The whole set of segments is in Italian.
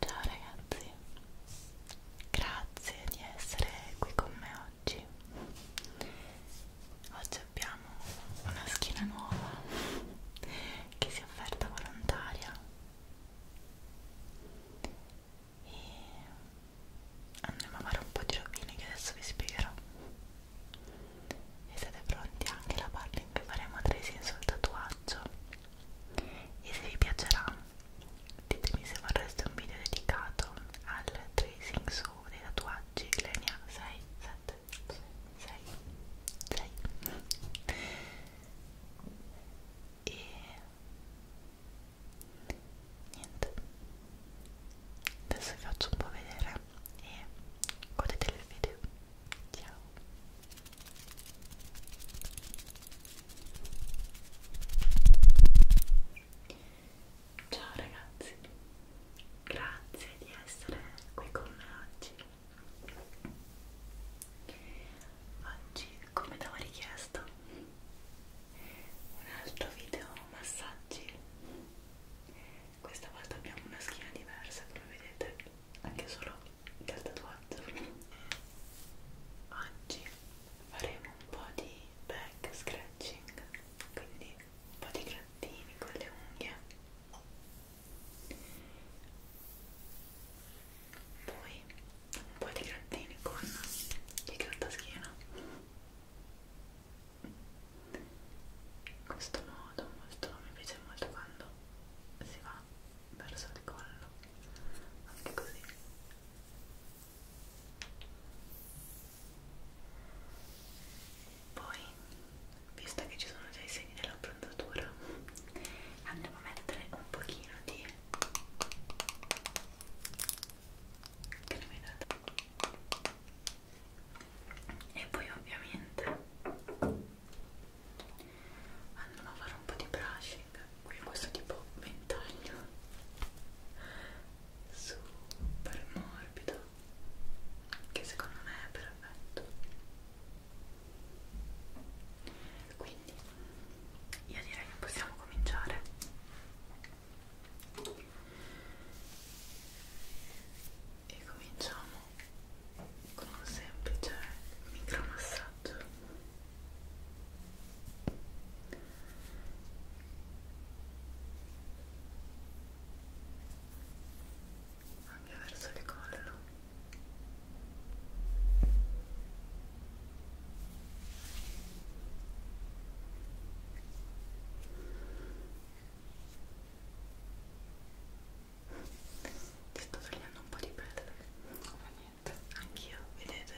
Ciao ragazzi, grazie di essere qui con me oggi. Oggi abbiamo una schiena nuova che si è offerta volontaria e andremo a fare un po' di rovine che adesso vi spiegherò e siete pronti anche alla parte in cui faremo tracing sul tatuaggio e se vi piacerà ditemi se vorreste un video dedicato al tracing su dei tatuaggi linea 6, 7, 6, 6 e niente adesso vi faccio un po' vedere e godete il video. Ciao! Ciao ragazzi, grazie di essere qui con me oggi. Oggi, come avevo richiesto, un altro video massaggi questa volta abbiamo una schiena diversa come vedete anche solo dal tatuaggio oggi faremo un po' di back scratching quindi un po' di grattini con le unghie poi un po' di grattini con il grattaschiena in questo modo molto, mi piace molto quando si va verso il collo anche così poi visto che ci sono già i segni dell'improntatura andiamo a mettere un pochino di crema idratante e poi ovviamente andiamo a fare un po' di brushing qui questo tipo ventaglio super morbido che secondo me è perfetto quindi io direi che possiamo cominciare e cominciamo con un semplice micromassaggio anche verso il collo Ora ti sto svegliando un po' di pelle ma niente anch'io vedete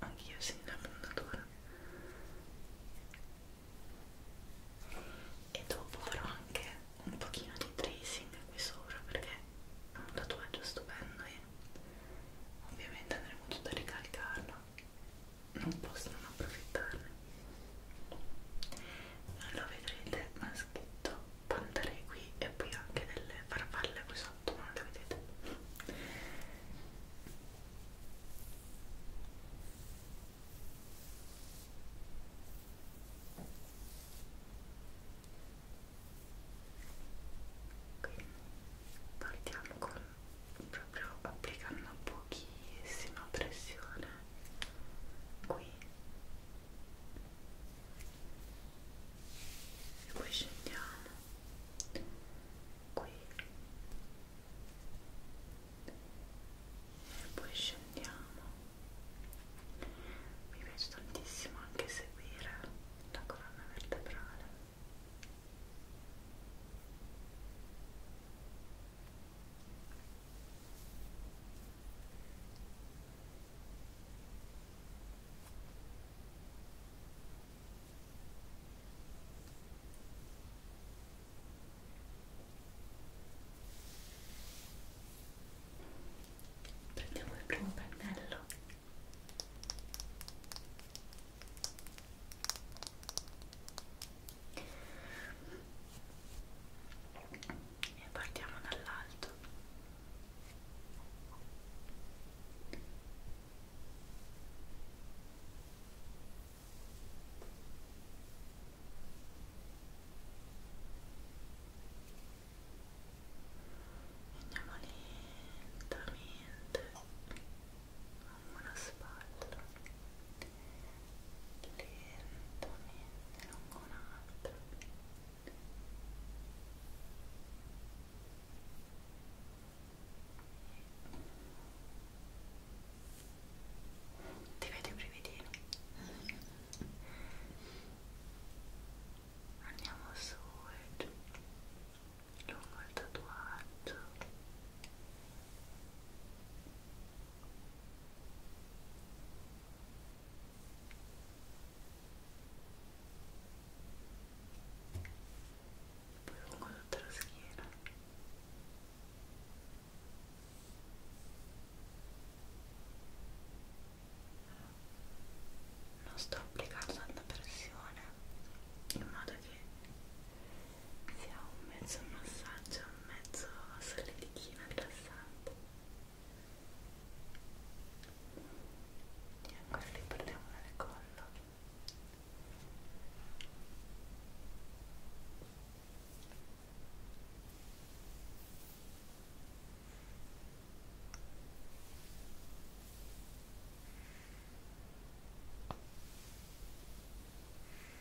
anch'io sento la fondatura e dopo farò anche un pochino di tracing qui sopra perché è un tatuaggio stupendo e ovviamente andremo tutto a ricalcarlo non posso non approfittarne lo vedrete ma è scritto pantarei qui e poi anche delle farfalle qui sotto ma non le vedete quindi partiamo con proprio applicando pochissima pressione qui e poi scendiamo qui e poi scendiamo mi piace tantissimo anche seguire la colonna vertebrale e Prendiamo il primo pennello e partiamo dall'alto andiamo lentamente una spalla lentamente lungo un altro ti vedo i brividini andiamo su e eh. giù lungo il tatuaggio poi lungo tutta la schiena non sto applicando tanta pressione in modo che sia un mezzo massaggio un mezzo solletichino rilassante e ancora li perdiamo nel collo Ecco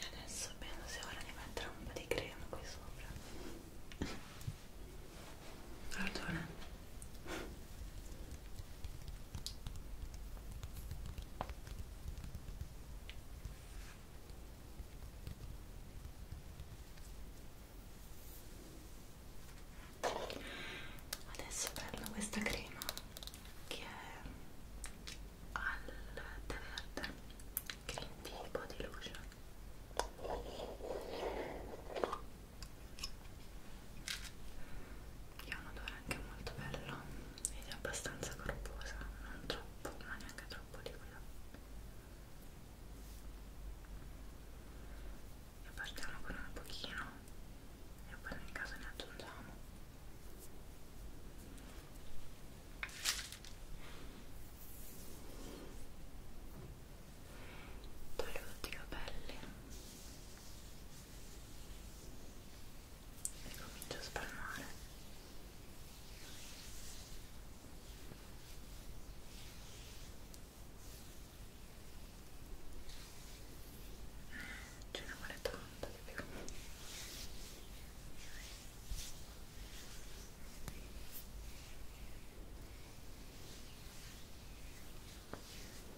E adesso penso sia ora di mettere un po' di crema qui sopra Ragione. Adesso prendo questa crema che è al tè verde, green tea body lotion che ha un odore anche molto bello ed è abbastanza corposa non troppo ma neanche troppo liquida e partiamo con un pochino e poi nel caso ne aggiungiamo Toglio tutti i capelli e comincio a spalmare ce ne vuole tanto di più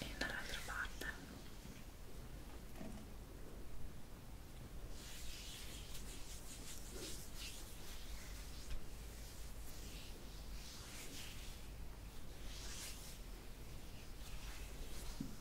e dall'altra parte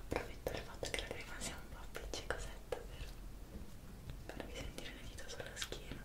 approfitto del fatto che la crema sia un po' appiccicosetta per farvi sentire le dita sulla schiena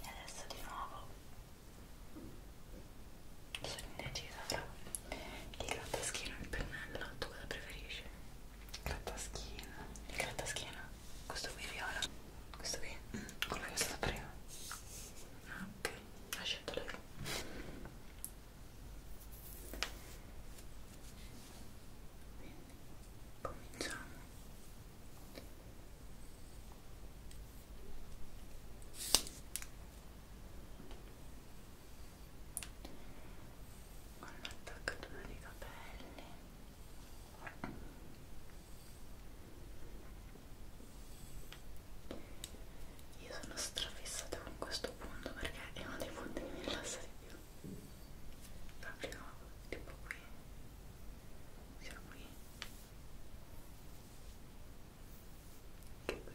E adesso di nuovo sono indecisa fra il grattaschino e il pennello, tu cosa preferisci? Grattaschino. Il grattaschino? Questo qui viola? Questo qui? Mm, quello che è stato prima. Ah, ok, ha scelto lei. Quindi, cominciamo. Ok, con l'attaccatura dei capelli io sono strafissata con questo punto perché è uno dei punti che mi rilassa di più proprio tipo qui sia qui che qui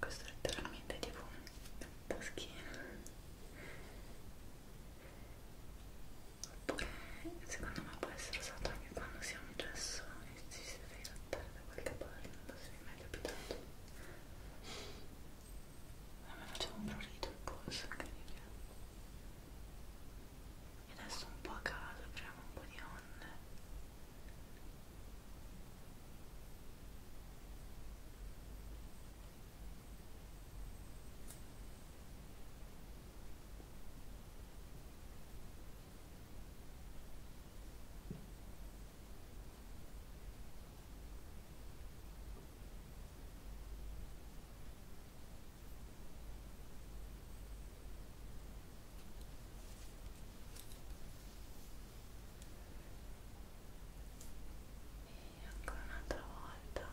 questo è letteralmente tipo un taschino oppure secondo me può essere usato anche quando si ha un gesso e si deve grattare da qualche parte non so se mi è mai capitato a me faceva un prurito il polso incredibile e adesso un po' a caso apriamo un po' di onde e ancora un'altra volta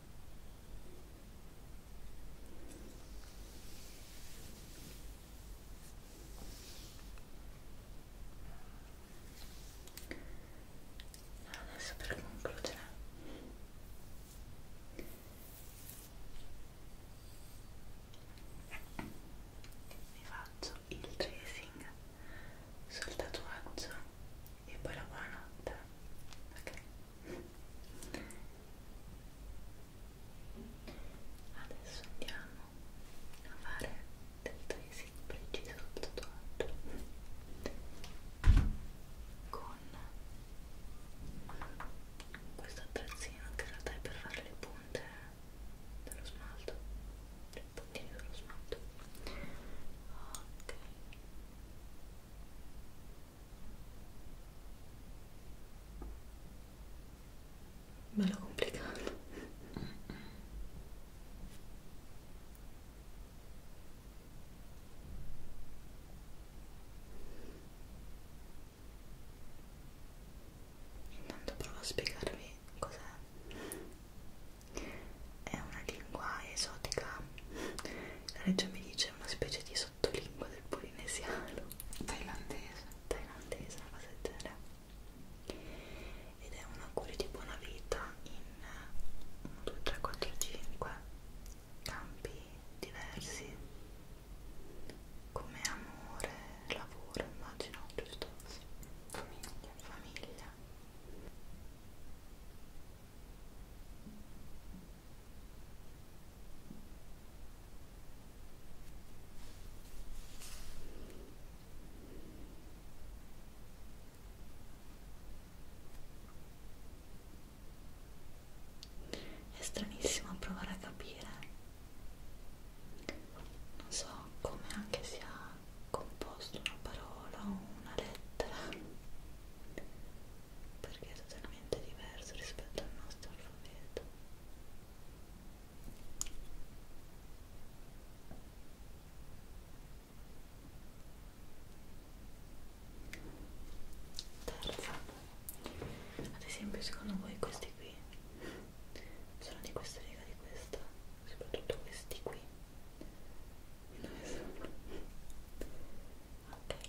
Adesso per concludere mi faccio il tracing sul tatuaggio e poi la buonanotte ok Adesso andiamo a fare del tracing preciso sul tatuaggio con questo attrezzino che in realtà è per fare le punte dello smalto, i puntini dello smalto. Ok bello complicato intanto provo a spiegarvi cos'è è una lingua esotica la regia mi dice c'è una specie di sottolingua del polinesiano thailandese thailandese, una cosa del genere ed è un augurio di buona vita in 1, 2, 3, 4, 5 campi diversi come amore, lavoro immagino, giusto? Sì. famiglia famiglia è stranissimo provare a capire, non so come anche sia composto una parola o una lettera perché è totalmente diverso rispetto al nostro alfabeto. Terza, ad esempio secondo voi questi qui sono di questa riga di questa, soprattutto questi qui. Dove sono? Ok.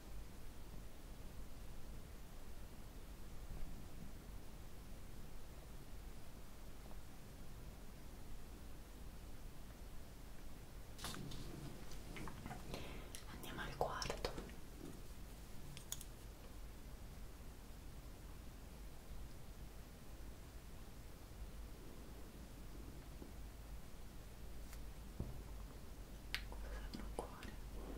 Andiamo al quarto cosa danno al cuore Ecco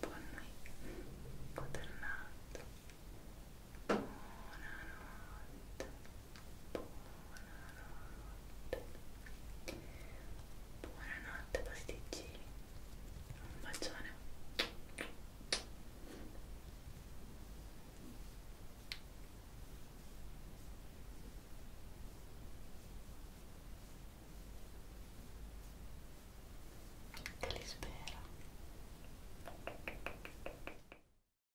Buonanotte. Buonanotte buonanotte buonanotte pasticcini un bacione che li spero